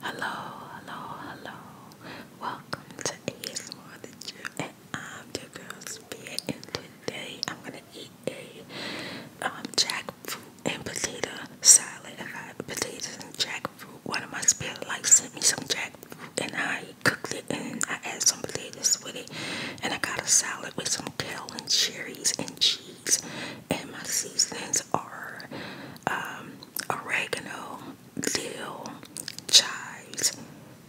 Hello, hello, hello. Welcome to ASMR The Gym, and I'm your today I'm gonna eat a um, jackfruit and potato salad. I have potatoes and jackfruit, one of my spirit like sent me some jackfruit, and I cooked it, and I added some potatoes with it, and I got a salad with some kale and cherries and cheese, and my seasonings are um, oregano, dill, chives,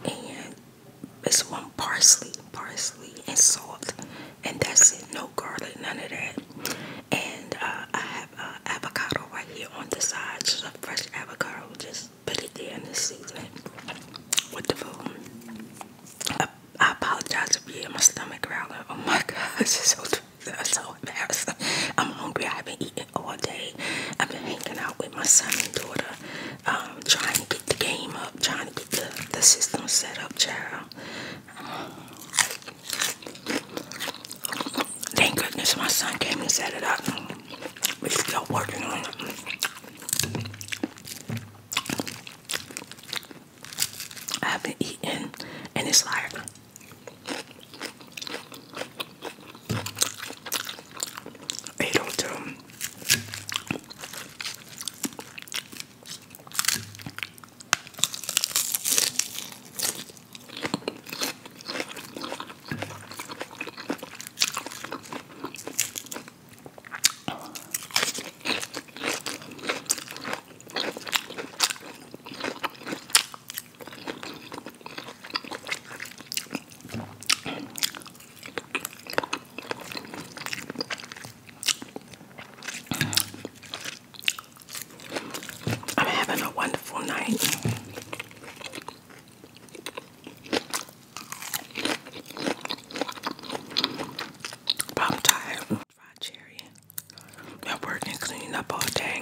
and this one parsley, parsley, and salt, and that's it. No garlic, none of that. And uh, I have avocado right here on the side, just a fresh avocado. Just put it there and the seasoning with the food. I, apologize if you hear my stomach growling. Oh my gosh, it's so i so embarrassed. I'm hungry. I've been eating all day. I've been hanging out with my son and daughter, um, trying to get the game up, trying to get the, the system set up, child. Thank goodness my son came and set it up. We're still working on it. I haven't eaten and it's like eight or two. I'm having a wonderful night. I'm tired. Fried cherry. Been working cleaning up all day.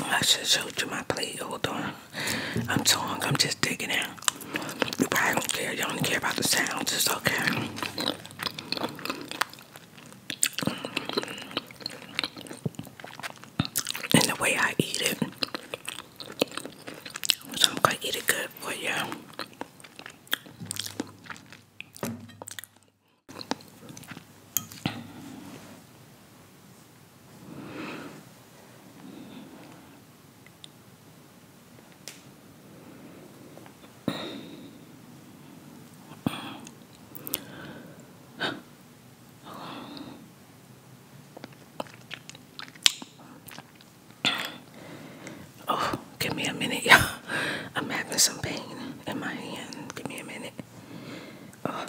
I should show you my plate. Hold on. I'm talking. I'm just digging out. You probably don't care. You only care about the sounds. It's okay. And the way I eat it. So I'm going to eat it good for you. Oh, give me a minute, y'all. I'm having some pain in my hand. Give me a minute. Oh.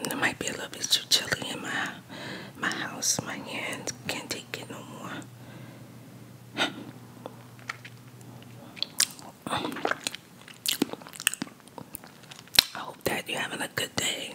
It might be a little bit too chilly in my my house. My hands can't take it no more. I hope that you're having a good day.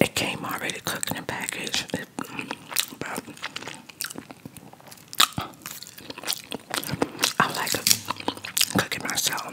It came already cooked in a package. I like to myself.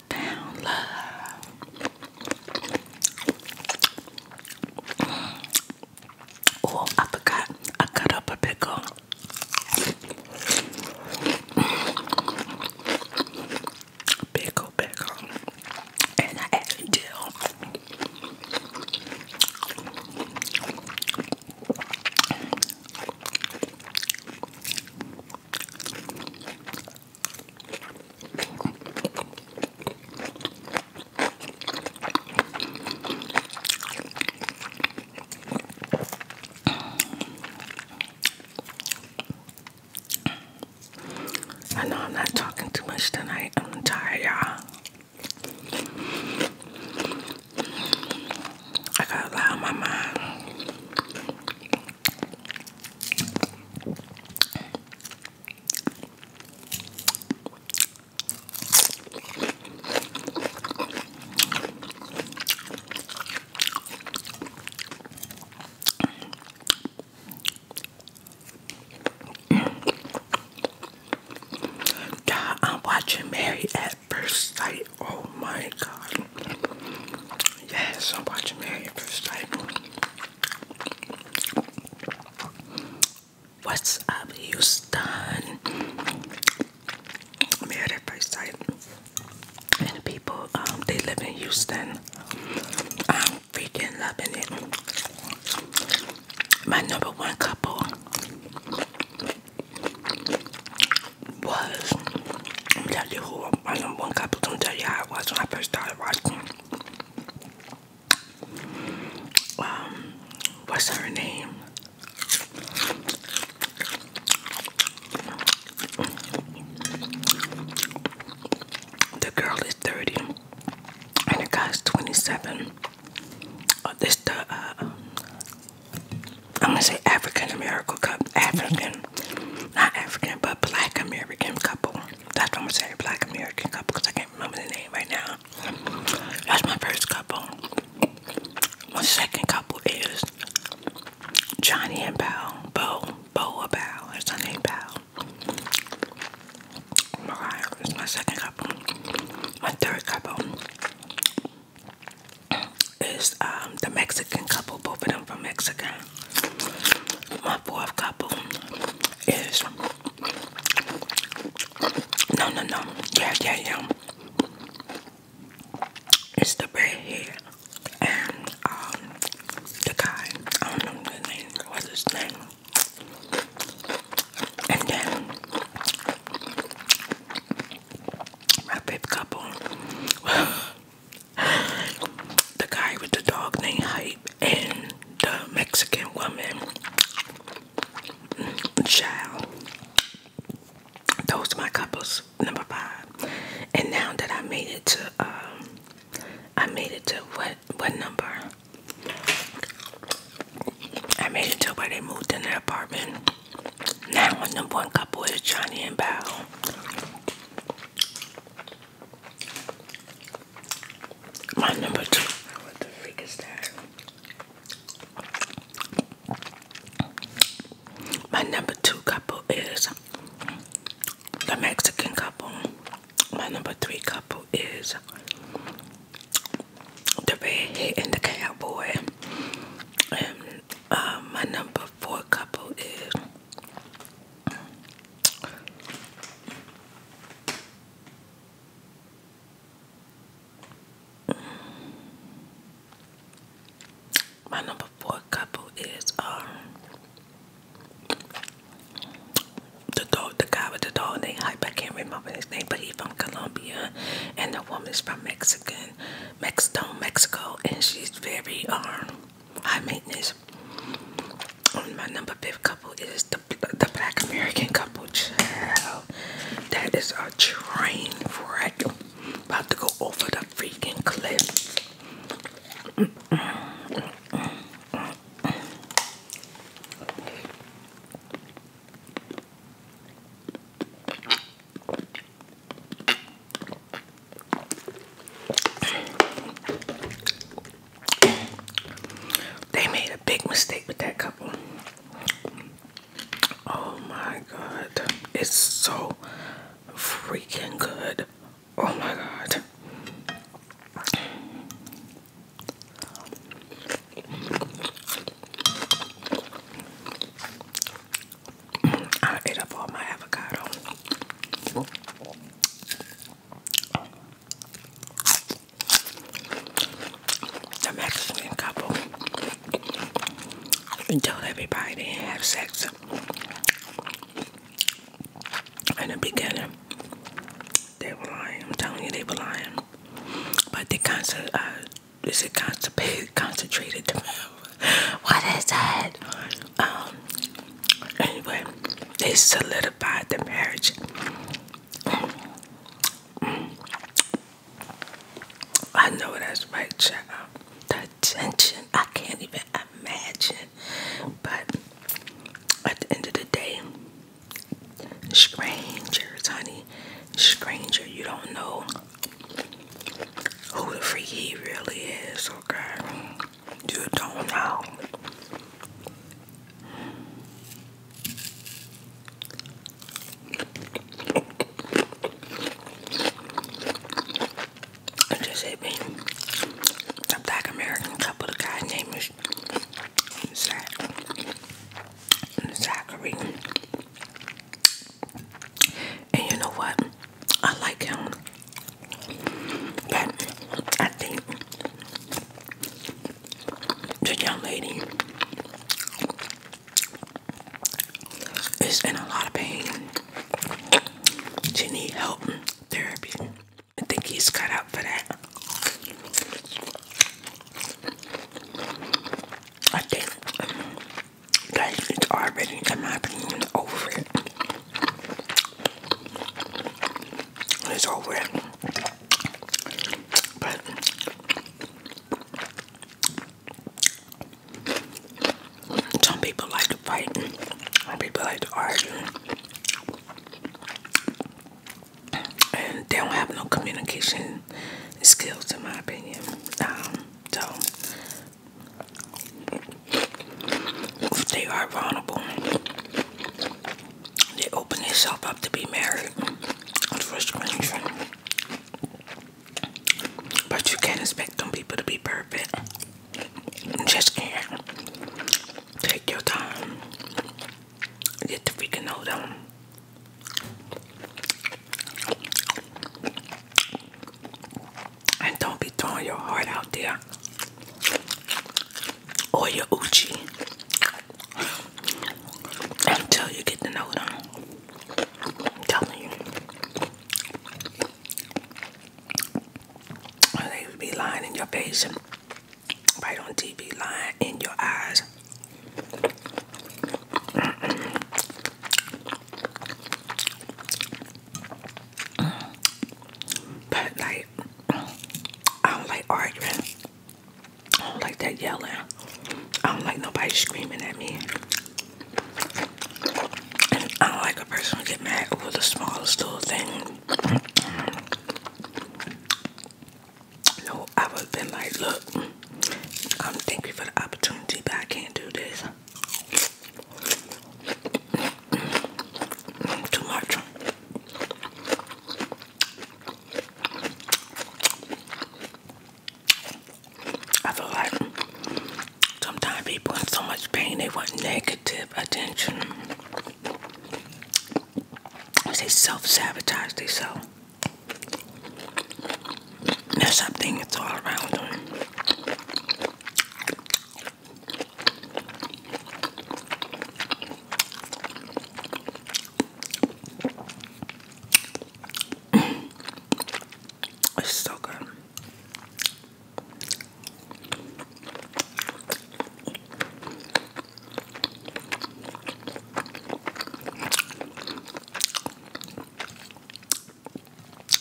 I Oh, I forgot. I cut up a pickle. Pickle, pickle. And I added dill. I know I'm not talking too much tonight. I'm tired, y'all. I got a lot on my mind. God, I'm watching Mary at First Sight. Oh my God. Yes, I'm watching Married at First What's up, Houston? Married at First And people, um, they live in Houston. I'm freaking loving it. My number one couple was I'm tell you who my number one couple. I'm tell you how it was when I first started watching. Um, what's her name? The girl is 30 and the guy's 27. this the uh, um, I'm gonna say African American cup African not African but Black American couple. That's what I'm saying, Black American couple, because I can't remember the name right now. That's my first couple. My second couple is Johnny and Bow. Bow, Bow Bao. That's her name, Bow. Mariah is my second couple. My third couple is um, the Mexican couple, both of them from Mexico. My fourth couple is no, no, no, yeah, yeah, yeah. It's the redhead and um, the guy. I don't know his name. What's his name? And then my fifth couple the guy with the dog named Hype and the Mexican woman child. Those are my couples number five. And now that I made it to um, I made it to what what number? I made it to where they moved in their apartment. Now my number one couple is Johnny and Bao. My number two. What the freak is that? My number two couple is the Mexican couple. My number three couple is the redhead and the cowboy. And uh, my number four couple is my number four couple is um the dog, the guy with the dog named Hype. I can't remember his name, but he's from Colombia, and the woman's from Mexican, Mexico, Mexico, and she's very um high maintenance. On my number fifth couple is the the Black American couple. Child, that is a train wreck about to go over the freaking cliff. They made a big mistake with that couple. Oh my god. It's so freaking good. Oh my god. I ate up all my avocado. The Mexican couple and told everybody they didn't have sex in the beginning. They were lying. I'm telling you, they were lying. But they concert, uh, is it constipated, concentrated? what is that? Um, anyway, they solidified the marriage. I know that's right, child. The tension, I can't even imagine. But at the end of the day, strangers, honey, stranger, you don't know who the freak he really is, okay? You don't know. It just hit me. black American couple, the guy's name is Zach Zachary. And you know what? I like him. But I think the young lady is in a lot of pain. She needs help therapy. I think he's cut out for that. I think Guys, it's already, in over it. It's over it. But some people like to fight, some people like to argue, and they don't have no communication skills, in my opinion. Um, so they are vulnerable, they open themselves up to be married But you can't expect them people to be perfect. just can't. Take your time. Get to freaking know them. And don't be throwing your heart out there or your Uchi until you get to know them. I'm telling you. They would be lying in your face right on TV, lying in your eyes. But like, I don't like arguing. I don't like that yelling. I don't like nobody screaming at me. I don't like a person get mad over the smallest little thing. No, I would been like, look. I'm um, thankful for the opportunity, but I can't do this. Mm, too much. I feel like sometimes people in so much pain they want negative attention. They self sabotage themselves. There's something that's all around them. It's so good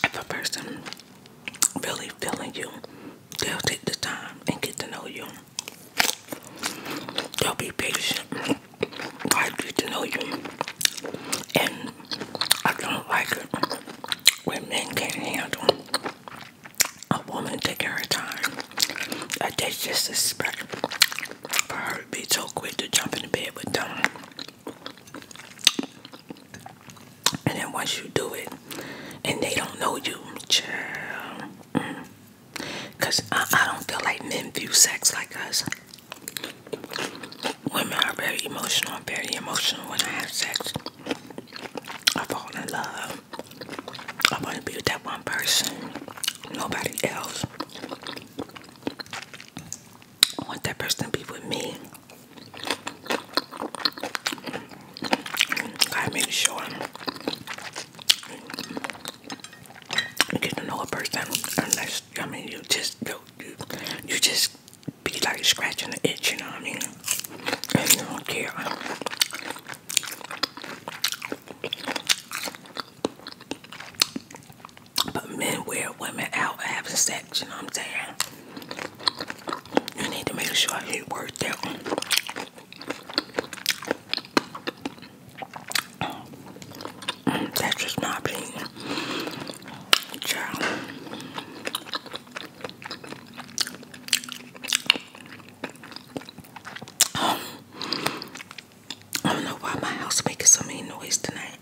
if a person really feeling you, they'll take the time and get to know you. They'll be patient. I get to know you. And I don't like it when men can't handle a woman taking her time. Like they just expect for her to be so quick to jump into bed with them. And then once you do it and they don't know you, mm, Cause I, I don't feel like men view sex like us. Women are very emotional. I'm very emotional when I have sex. I fall in love. I want to be with that one person. Nobody else. I want that person to be with me. I make sure you get to know a person unless I mean you just you, you, you just be like scratching the itch, you know what I mean? And not care. But men wear women out having sex, you know what I'm saying? You need to make sure he worked out. That's just my opinion. Child. I don't know why my house making so many noise tonight.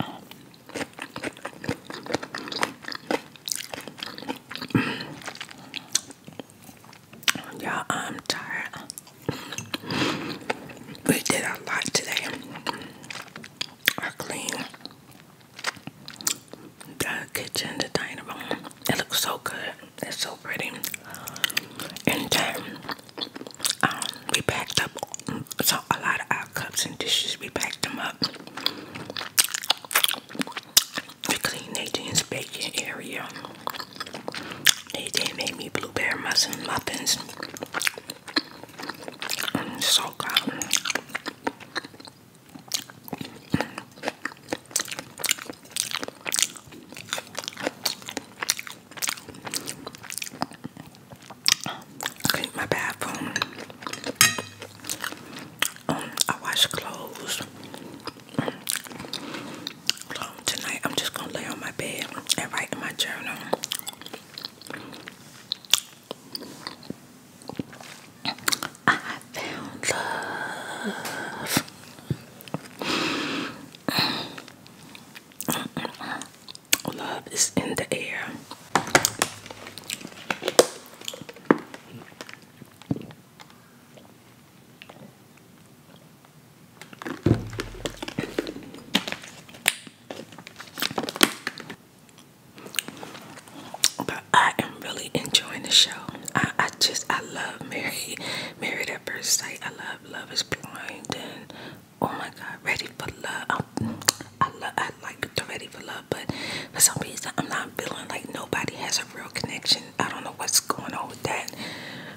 Um, you I'm tired. We did a lot today. I cleaned the kitchen, the dining room. It looks so good. It's so pretty. And then um, we packed up so a lot of our cups and dishes. We packed them up. We cleaned Nathan's baking area. Nathan made me blueberry muffin muffins. I'm so good clean my bathroom. Um, I wash clothes. tonight I'm just gonna lay on my bed and write in my journal. I found love. Love is in the air. But I am really enjoying the show. I, just I love Mary, Married at First Sight. I love Love Is Blind oh my god, ready for love. I'm, love, I like the ready for love, but for some reason I'm not feeling like nobody has a real connection. I don't know what's going on with that.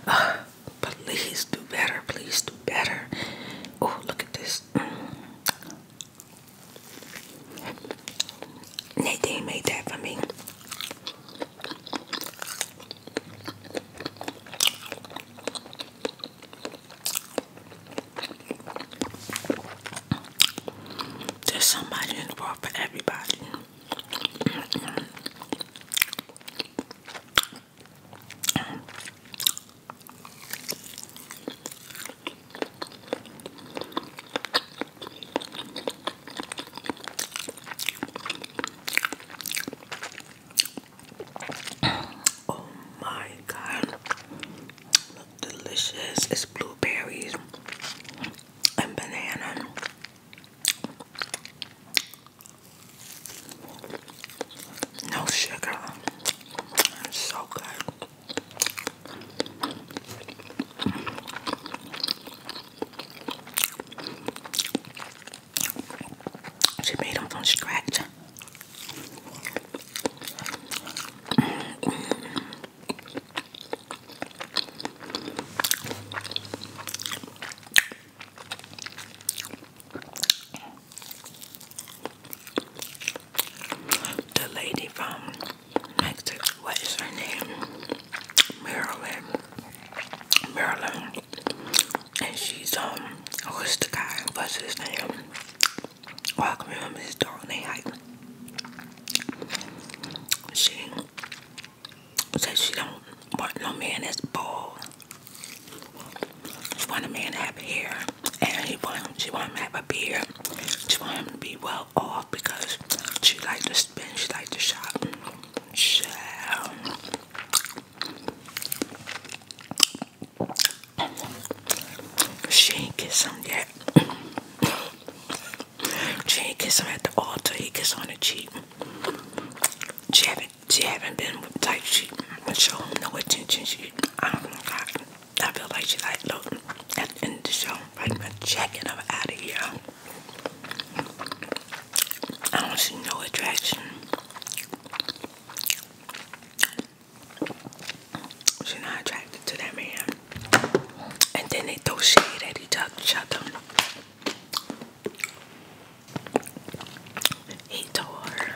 Uh, please do better. Please do better. Oh, look at this. Mm. Nadine made that for me. There's somebody in the world for everybody oh my god. delicious. It's blueberries and banana. No sugar. It's so good. She made them from scratch. The lady from Mexico, what is her name? Maryland. Maryland and she's um who's the guy? What's his name? Welcome I can remember his dog name. Like, she said she don't want no man that's bald. She want a man to have hair, and he want she want him to have a beard. She want him to be well off because she like to spend, she like to shop. She, she ain't kiss him yet. she ain't kiss him at the altar. He kiss on the cheek. She haven't. She haven't been with like she show him no attention. She. I don't know. I, I feel like she like look at the end of the show. Like my checking her out of here. I don't see no attraction. She's not attracted to that man. And then they throw shade at each other. He told her,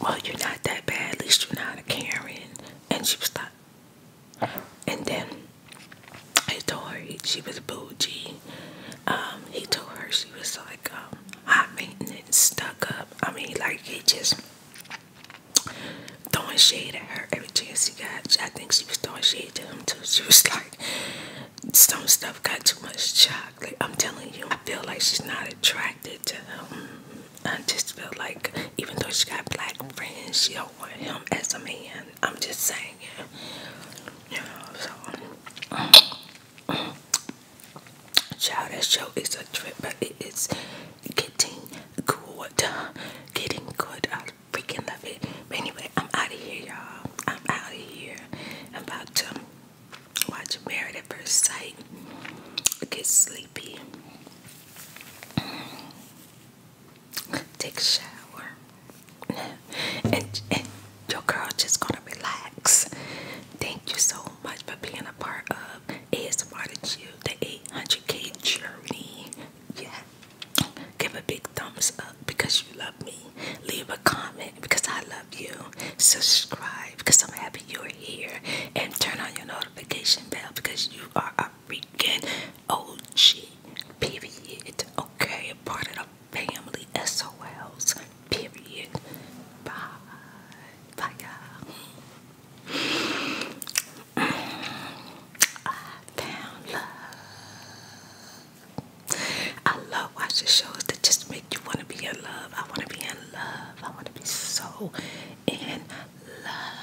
Well, you're not that bad, at least you're not a Karen. And she was like, uh-huh. And then he told her she was bougie. Um, he told her she was like, um, hot maintenance, stuck up. I mean, like he just throwing shade at her every chance he got. I think she was throwing shade to him too. She was like, some stuff got too much chocolate. I'm telling you, I feel like she's not attracted to him. I just feel like even though she got black friends, she don't want him as a man. I'm just saying, you know. So, Child, that show is a trip, but it is getting good. Getting good. I freaking love it. But anyway, I'm out of here, y'all. I'm out of here. I'm about to watch Married at First Sight. Get sleepy. Take a shower. and your girl just gonna relax. Thank you so much for being a part of ASMR to you, the 800k journey. Yeah, give a big thumbs up because you love me. Leave a comment because I love you. Subscribe because I'm happy you're here, and turn on your notification bell because you are a freaking OG. Period. Okay, part of family SOLs. Period. Bye. Bye, you I found love. I love watching shows that just make you want to be in love. I want to be in love. I want to be so in love.